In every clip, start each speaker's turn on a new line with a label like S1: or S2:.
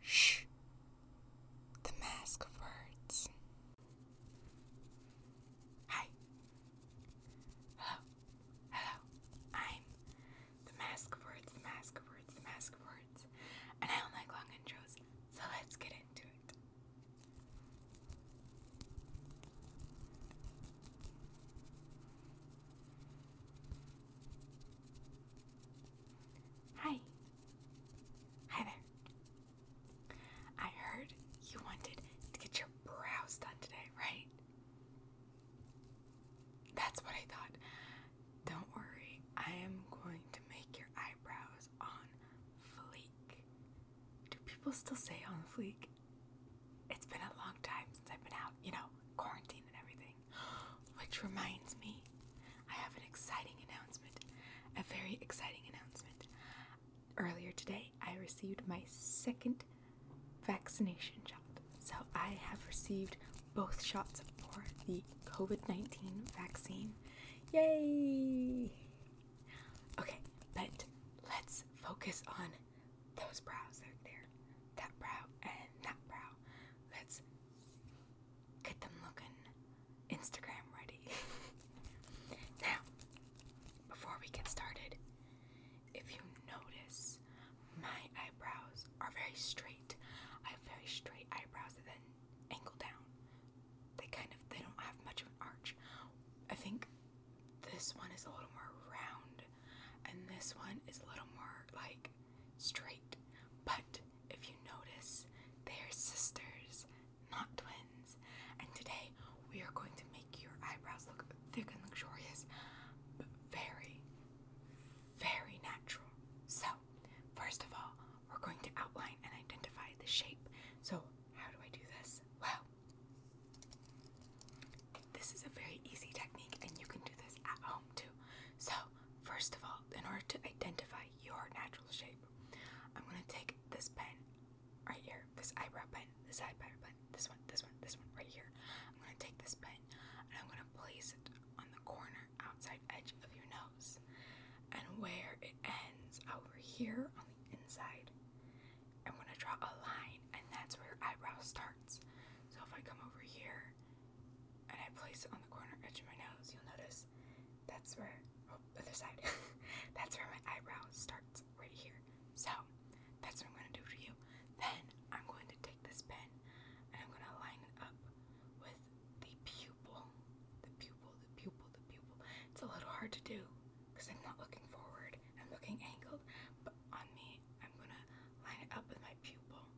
S1: Shh. The Mask of Words. Hi. Hello. Hello. I'm the Mask of Words, the Mask of Words, the Mask of Words. And I don't like long intros, so let's get into it. Hi, Hi there. I heard you wanted to get your brows done today, right? That's what I thought. Don't worry, I am going to make your eyebrows on fleek. Do people still say on fleek? It's been a long time since I've been out, you know, quarantine and everything. Which reminds me, I have an exciting announcement. A very exciting announcement. Earlier today, I received my second vaccination shot. So I have received both shots for the COVID 19 vaccine. Yay! Okay, but let's focus on those brows out there. That brow and that brow. Let's Get them looking Instagram ready. now, before we get started, if you notice, my eyebrows are very straight. I have very straight eyebrows that then angle down. They kind of they don't have much of an arch. I think this one is a little more round and this one is a little more like straight. But if you notice, they are sisters, not twins. And today we are going to make your eyebrows look thick and luxurious, but very, very natural. So, first of all, we're going to outline and identify the shape. So, how do I do this? Well, this is a very easy technique, and you can do this at home too. So, First of all, in order to identify your natural shape, I'm gonna take this pen right here, this eyebrow pen, this eyebrow pen, this one, this one, this one, right here. I'm gonna take this pen and I'm gonna place it on the corner outside edge of your nose. And where it ends over here on the inside, I'm gonna draw a line and that's where your eyebrow starts. So if I come over here and I place it on the corner edge of my nose, you'll notice that's where, oh, other side, that's where my eyebrow starts, right here. So, that's what I'm going to do for you. Then, I'm going to take this pen, and I'm going to line it up with the pupil, the pupil, the pupil, the pupil. It's a little hard to do, because I'm not looking forward, I'm looking angled, but on me, I'm going to line it up with my pupil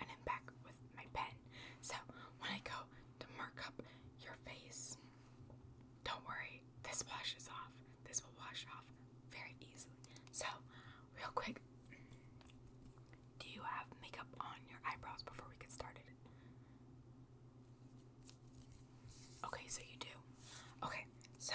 S1: and I'm back with my pen. So when I go to mark up your face, don't worry, this washes off. This will wash off very easily. So, real quick, do you have makeup on your eyebrows before we get started? Okay, so you do. Okay, so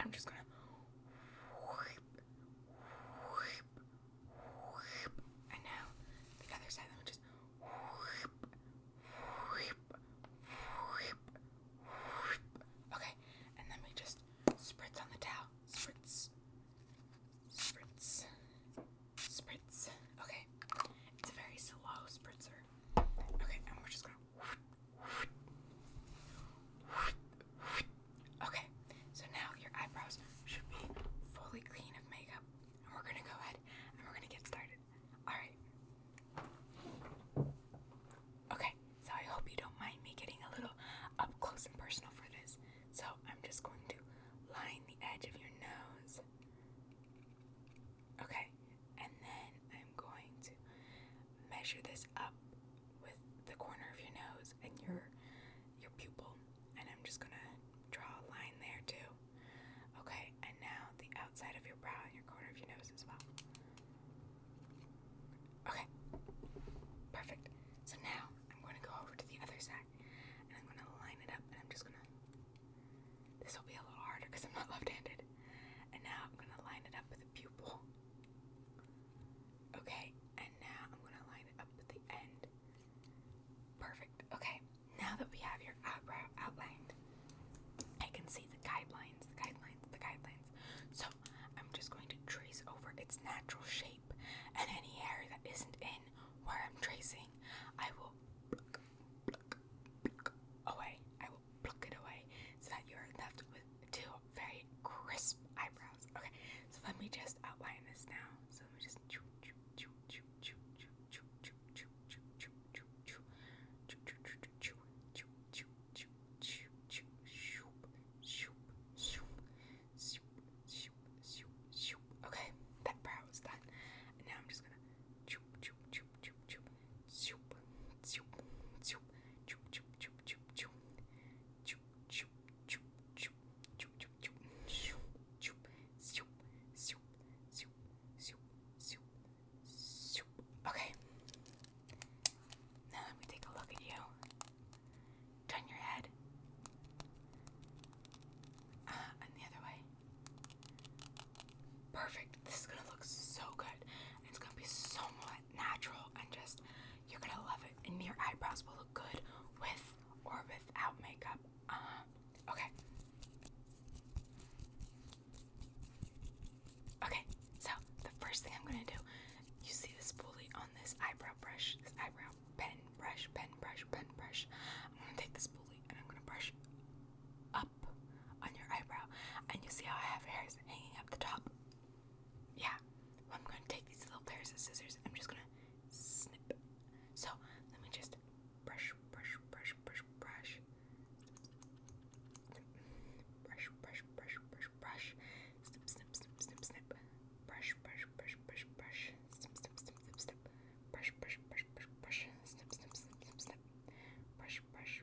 S1: I'm just gonna whip, whip, the other side. Let me just Okay, and then we just spritz on the towel. Spritz, spritz, spritz. Okay, it's a very slow spritzer. Okay, and we're just gonna. Okay, so now your eyebrows should be fully clean of makeup, and we're gonna go ahead and we're gonna get started. Alright. Okay, so I hope you don't mind me getting a little up close and personal for this. So I'm just going to line the edge of your nose. Okay, and then I'm going to measure this up with the corner of your nose and your your pupil. And I'm just gonna draw a line there too. Okay, and now the outside of your brow and your corner of your nose as well. Okay, perfect. So now I'm gonna go over to the other side and I'm gonna line it up and I'm just gonna. This will be a little harder because I'm not left handed. And now I'm gonna line it up with the pupil. Okay, and now I'm gonna line it up at the end. Perfect. Okay, now that we have your eyebrow outlined, I can see the guidelines, the guidelines, the guidelines. So I'm just going to trace over its natural shape and any area that isn't in where I'm tracing, I will pluck, pluck, pluck away. I will pluck it away so that you're left with two very crisp eyebrows. Okay, so let me just outline this now. So let me just Okay, that brow is done. now I'm just gonna choop choop choop choop choop Okay. Now let me take a look at you. Turn your head. Uh, and the other way. Perfect. This is gonna look so good it's gonna be somewhat natural and just you're gonna love it and your eyebrows will look good with or without makeup uh-huh. okay okay so the first thing i'm gonna do you see this spoolie on this eyebrow brush this eyebrow pen brush pen brush pen brush i'm gonna take this spoolie and i'm gonna brush up on your eyebrow and you see how i have hairs hanging up the top yeah, I'm going to take these little pairs of scissors and I'm just going to snip. So let me just brush, brush, brush, brush, brush. Brush, brush, brush, brush, brush. Snip, snip, snip, snip, snip. Brush, brush, brush, brush, brush. Snip, snip, snip, snip, snip. Brush, brush, brush, brush, brush. Snip, snip, snip, snip, snip. Brush, brush,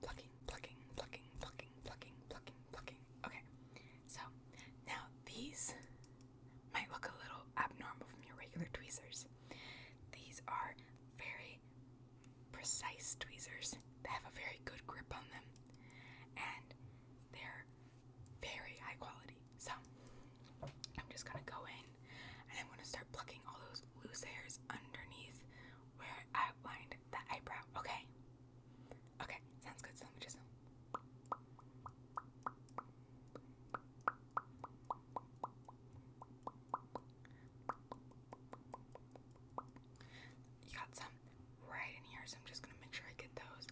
S1: plucking, plucking, plucking, plucking, plucking, plucking, plucking, plucking. Okay, so now these might look a little abnormal from your regular tweezers. These are very precise tweezers that have a very good grip on them, and they're very high quality. So I'm just gonna go in and I'm gonna start plucking all those loose hairs underneath where I outlined the eyebrow, okay? Okay, sounds good. So let me just. You got some right in here, so I'm just gonna make sure I get those.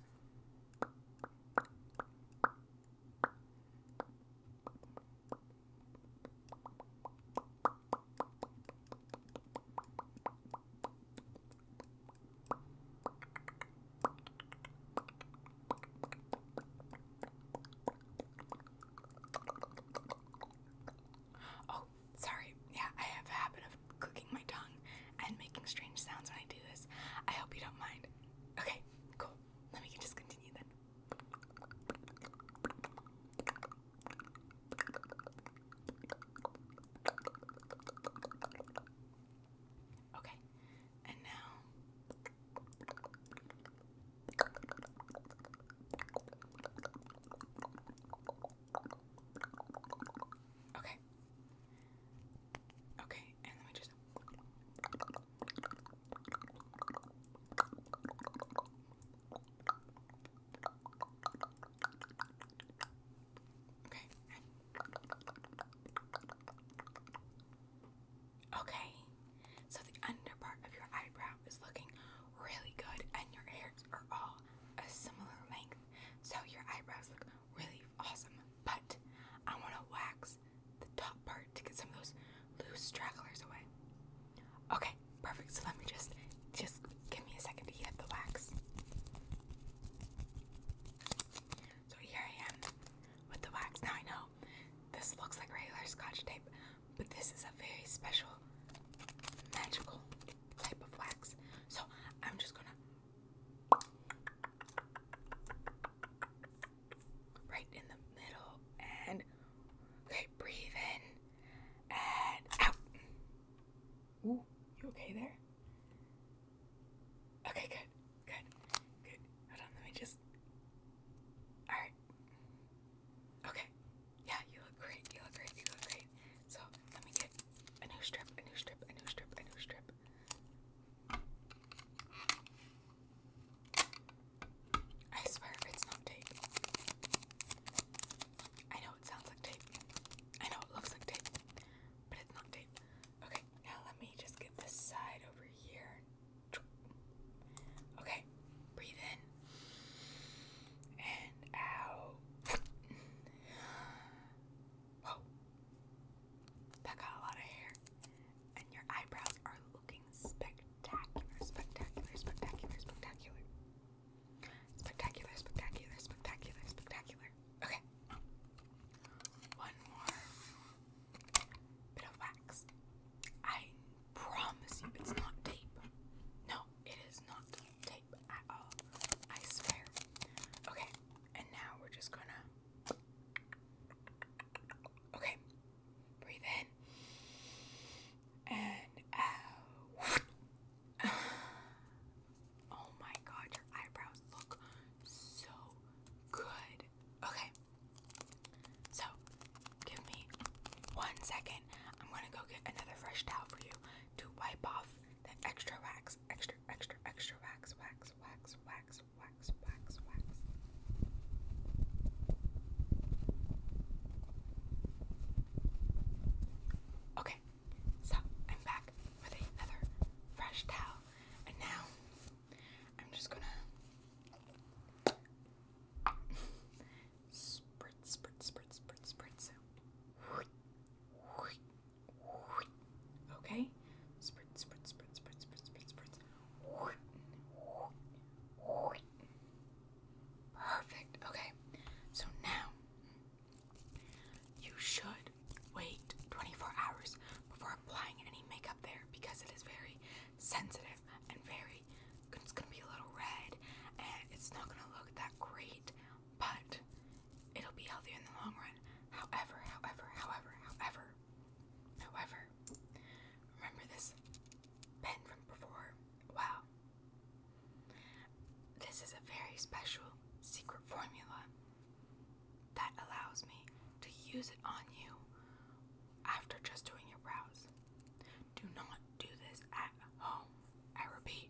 S1: Oh, sorry. Yeah, I have a habit of clicking my tongue and making strange sounds when I do this. I hope you don't mind. Okay, cool. Let me just continue then. Okay, and now Okay. Okay, and let me just Okay. Okay. So the under part of your eyebrow is looking really good and your hairs are all a similar length. So your eyebrows look really awesome. But I want to wax the top part to get some of those loose stragglers away. Okay, perfect. So let me just just give me a second to get the wax. So here I am with the wax. Now I know this looks like regular scotch tape, but this is a very special magical type of wax. So I'm just gonna right in the middle and okay breathe in out. Ooh, you okay there? Okay, good, good, good. Hold on, let me just. Alright. Okay. Yeah, you look great, you look great, you look great. So, let me get a new strip, a new strip, a new strip, a new strip. I swear it's not tape. I know it sounds like tape. I know it looks like tape, but it's not tape. Okay, now let me just get this side over here. Okay, breathe in and out. Whoa, that got a lot of hair, and your eyebrows are looking spectacular, spectacular, spectacular, spectacular. Spectacular, spectacular, spectacular, spectacular. Okay. One more bit of wax. I promise you it's not tape. No, it is not tape at all. I swear. Okay, and now we're just gonna. Okay, breathe and Oh my god, your eyebrows look so good. Okay, so give me one second. I'm gonna go get another fresh towel for you to wipe off the extra wax, extra, extra, extra wax, wax, wax, wax, wax, wax, wax. Okay, so I'm back with another fresh towel, and now I'm just gonna spritz, spritz, spritz, spritz, spritz. Okay, spritz, spritz, spritz, spritz, spritz, spritz, spritz. Okay, Perfect. Okay. So now you should wait 24 hours before applying any makeup there because it is very sensitive and very it's going to be a little red and it's not going to look that great, but it'll be healthier in the long run. However, however, however, however, however, remember this pen from before? Wow. This is a very special secret formula that allows me to use it on you after just doing your brows. Do not do this at home. I repeat,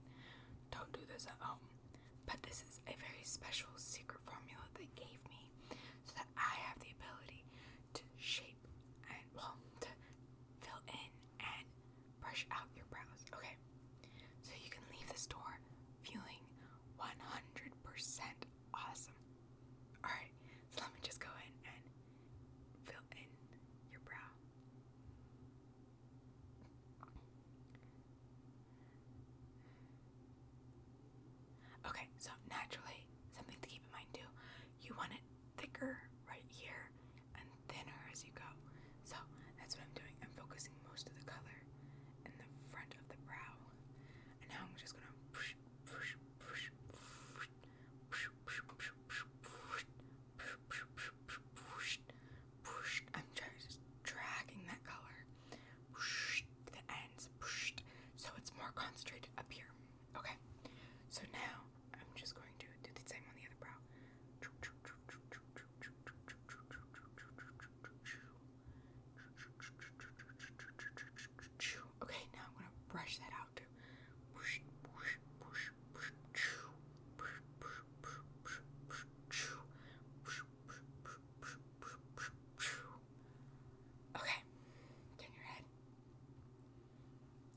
S1: don't do this at home. But this is a very special secret formula that gave me so that I have the ability to shape and, well, to fill in and brush out your brows, okay? So you can leave the store feeling 100% awesome. Alright, so let me just go in and fill in your brow. Okay, so naturally, something to keep in mind too, you want it thicker right here and thinner as you go. So that's what I'm doing. I'm focusing most of the color in the front of the brow. And now I'm just gonna push, push, push, push, push, push, I'm just dragging that color to the ends, so it's more concentrated up here. Okay, so now I'm just going to do the same on the other brow. Okay, now I'm gonna brush that out Okay, turn your head.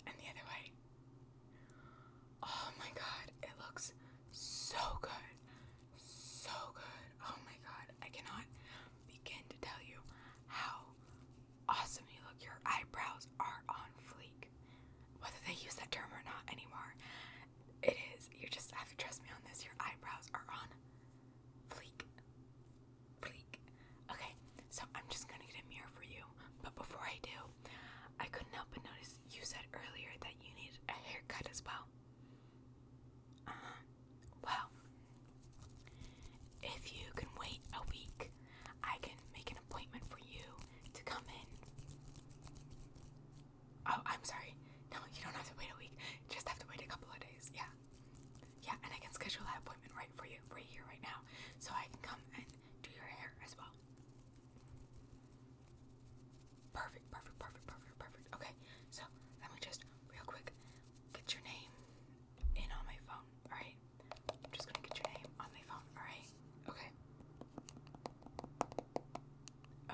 S1: And the other way. Oh my god, it looks so good. So good. Oh my god, I cannot begin to tell you how awesome you look. Your eyebrows are on fleek. Whether they use that term or not anymore, it is. You just have to trust me on this. Your eyebrows are on fleek. Fleek. Okay, so I'm just gonna get a mirror for you. But before I do, I couldn't help but notice you said earlier that you needed a haircut as well. Uh huh. Well, if you can wait a week, I can make an appointment for you to come in. Oh, I'm sorry. No, you don't have to wait a week. You just have to wait a couple of days. Yeah. Yeah, and I can schedule that appointment right for you, right here, right now. So I can come and to your hair as well. Perfect, perfect, perfect, perfect, perfect. Okay, so let me just real quick get your name in on my phone, alright? I'm just gonna get your name on my phone, alright? Okay.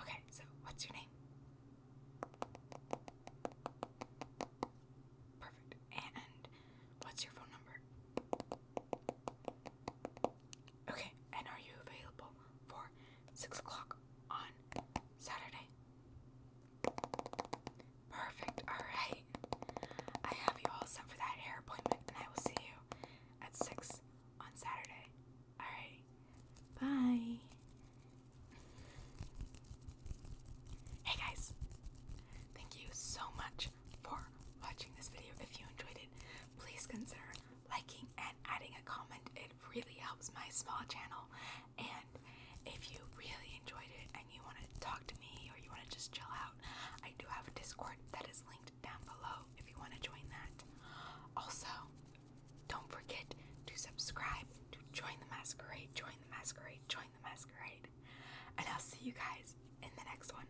S1: Okay, so what's your name? Perfect. And what's your phone number? Okay, and are you available for six o'clock on Saturday? Perfect, alright. I have you all set for that hair appointment, and I will see you at six on Saturday. Alright, bye. Hey guys, thank you so much for watching this video. If you enjoyed it, please consider liking and adding a comment. It really helps my small channel. And if you really enjoyed it and you want to talk to me or you want to just chill out, I do have a Discord that is linked down below if you want to join that. Also, don't forget to subscribe to Join the Masquerade, Join the Masquerade, Join the Masquerade. And I'll see you guys in the next one.